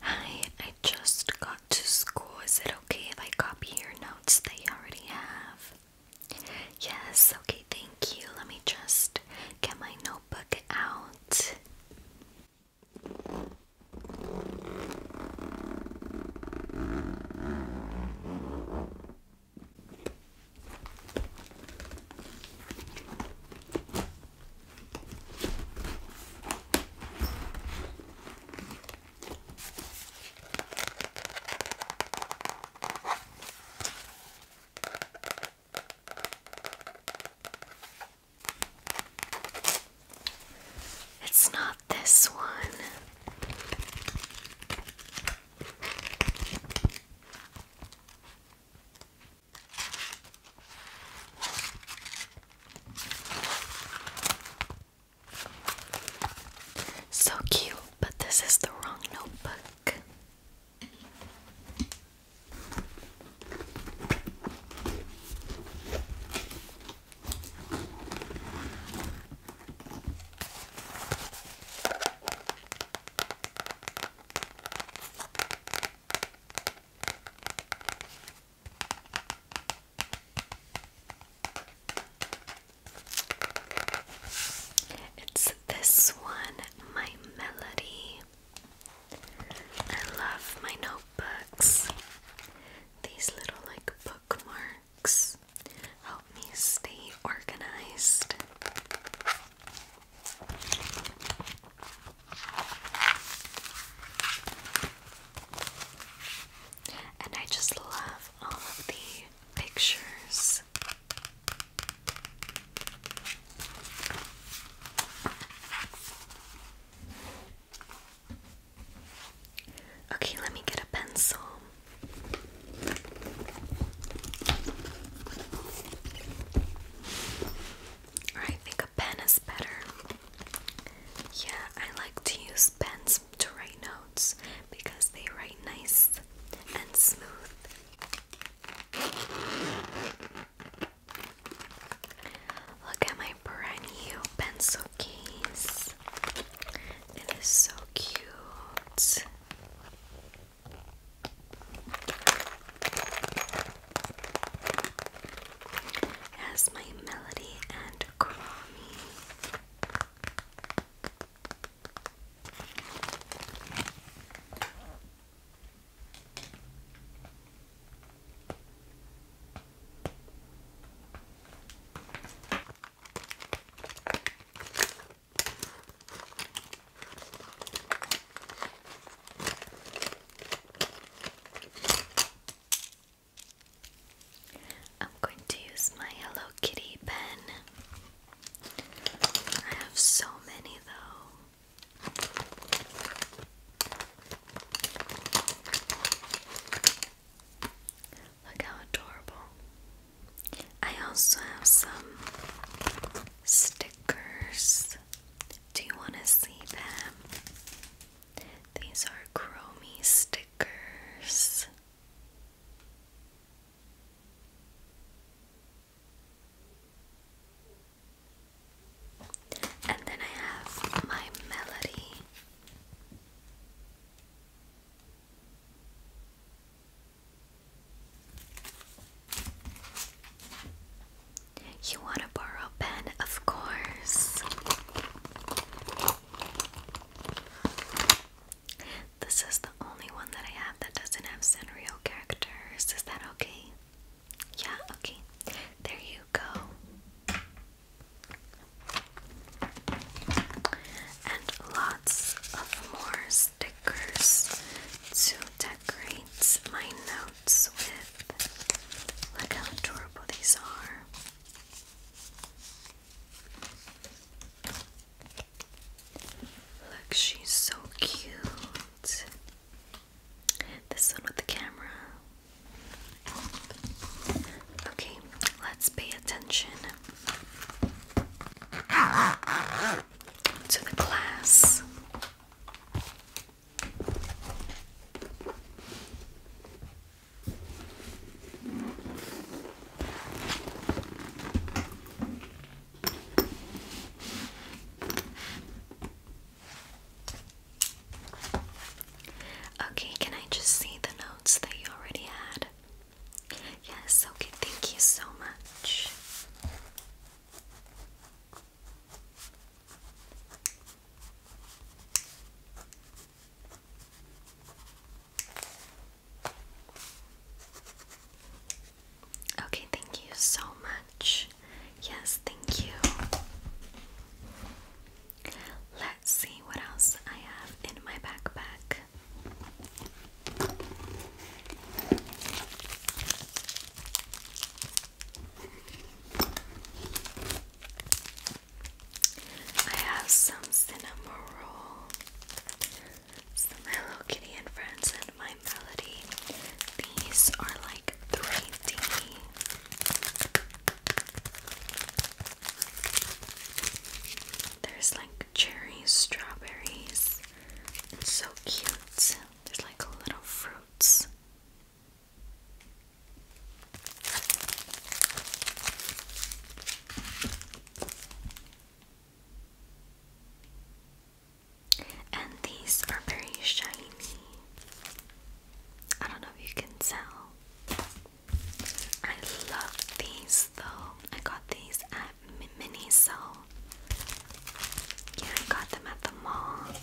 Hi, I just got to school. Is it okay if I copy your notes that you already have? Yes, okay, thank you. Let me just get my notebook out. It's not this one. So cute, but this is the wrong notebook. It's this one, My Melody. I love my notebooks. These little like bookmarks help me stay organized. And I just love all of the pictures. Okay, let me get a pencil. I think a pen is better. Yeah, I like to use pens to write notes because they write nice and smooth. Look at my brand new pencil case. It is so cute. As my melody and crummy. I'm going to use my Hello Kitty pen. I have so many though. Look how adorable. I also have some stickers. Do you want to see them? These are chromie stickers. And then I have my melody. You want to borrow a Of course. This is the only one that I have that doesn't have Sanrio characters. Is that okay? Yeah, okay. There you go and lots of more stickers to decorate my notes with. Look how adorable these are. Look, she's so cute. This one with the camera. Okay, let's pay attention to the class. Okay, can I just see the notes that you already had? Yes, okay, thank you so much. Okay, thank you so much. Yes, thank you. Let's see what else I have in my backpack. I have some cinnamon roll, some Hello Kitty and Friends, and My Melody. These are like 3D. There's like cherries, strawberries. It's so cute. There's like little fruits. And these are very shiny. I don't know if you can tell. I love these though. I got these at Miniso. Yeah, I got them at the mall.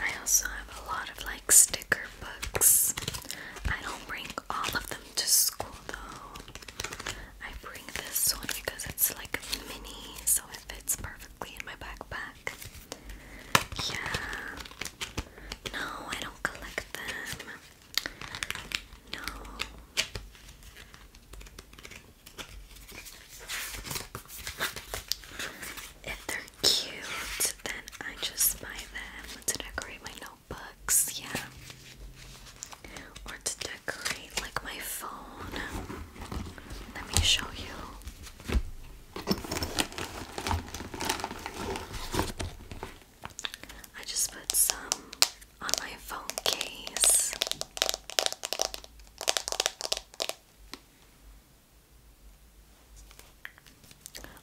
I also have a lot of like sticker books. I don't bring all of them to school though. I bring this one because it's like mini, so so it fits perfectly in my backpack. Yeah. No, I don't collect them. No. If they're cute, then I just buy them to decorate my notebooks, yeah. Or to decorate like my phone. Let me show you. I just put some on my phone case.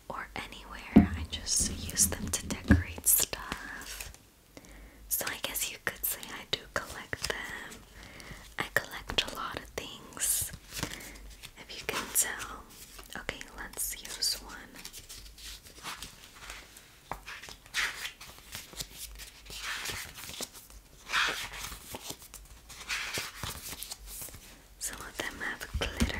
Or anywhere, I just use them to decorate stuff. So, I guess you could say I do collect them. I collect a lot of things, if you can tell. Okay, let's use one. Some of them have glitter.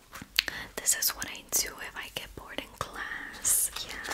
This is what I do if I get bored in class. Yeah.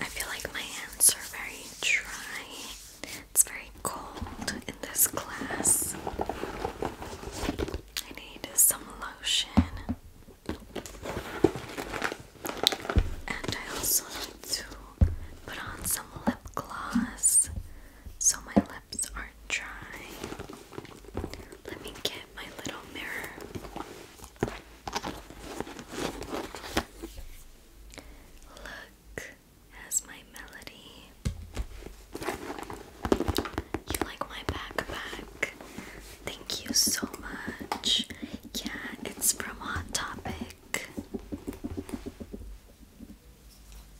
I feel like my hands are very dry. It's very cold in this class. I need some lotion. And I also need to put on some lip gloss so my lips lips are dry. Let me get my little mirror. Look as my melody. You like my backpack? Thank you so much. Yeah, it's from Hot Topic.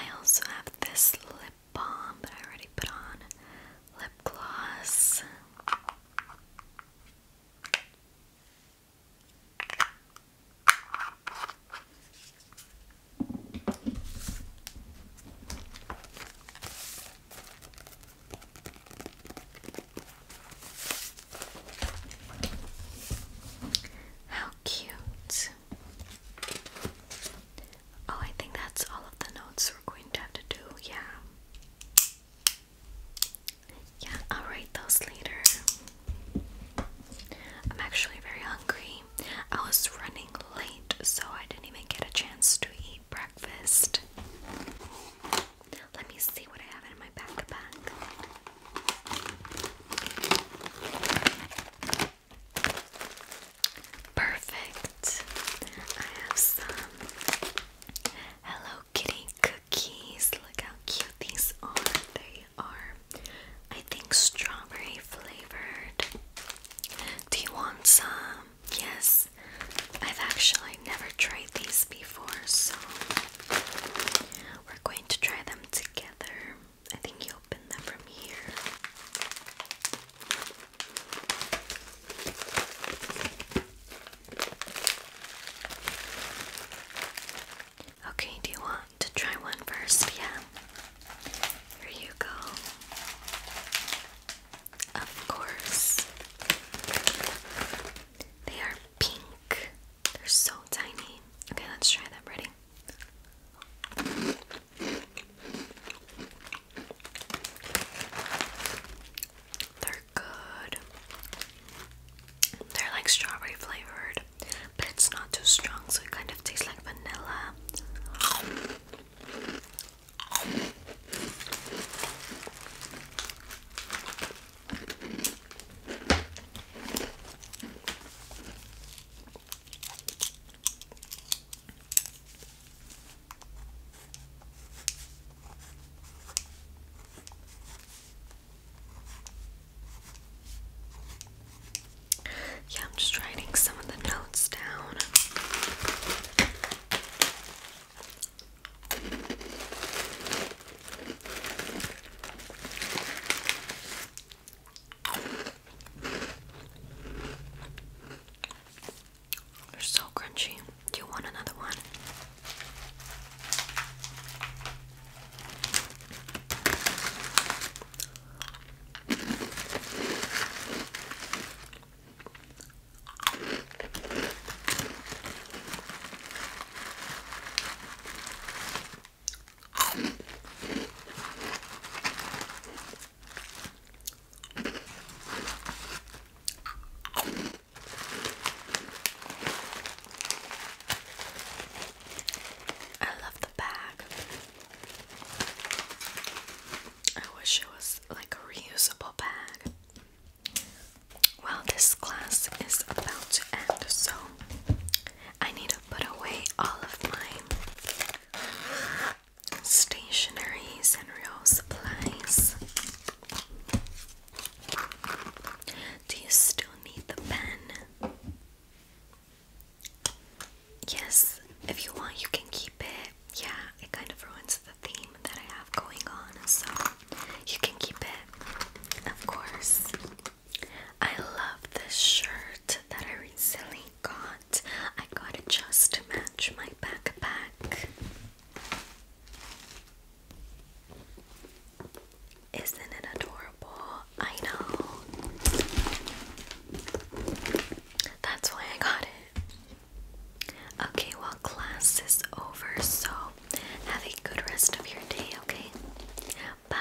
I also have this lip balm, but I already put on lip gloss. How cute. Oh, I think that's all of the notes we're going to have to do. Yeah. Yeah, I'll write those later. I'm actually very hungry. I was running late, so I didn't even get a chance to eat breakfast. Let me see what I have in my backpack. Perfect. I have some Hello Kitty cookies. Look how cute these are. They are, I think, strawberry flavored. Do you want some? Yes. I've actually never tried these before, so we're going to try them together. I think you open that from here. Okay, do you want to try one first? Yeah. Here you go. Of course. They are pink. They're so tiny. Okay, let's try that. Ready? They're good. They're like strawberry flavored, but it's not too strong, so it kind of tastes like vanilla. Yeah, I'm just writing some of the notes down. They're so crunchy. Do you want another one? I love the bag. I wish it was like a reusable bag. Well, this class is about to end, so I need to put away all of my stationaries and real supplies. Do you still need the pen? Yes, if you want, you can keep it. Yeah, it kind of ruins the theme that I have going on, so you can keep it, of course. I love this shirt that I recently got. I got it just to match my backpack. Isn't it adorable? I know. That's why I got it. Okay, well, class is over, so have a good rest of your day, okay? Bye.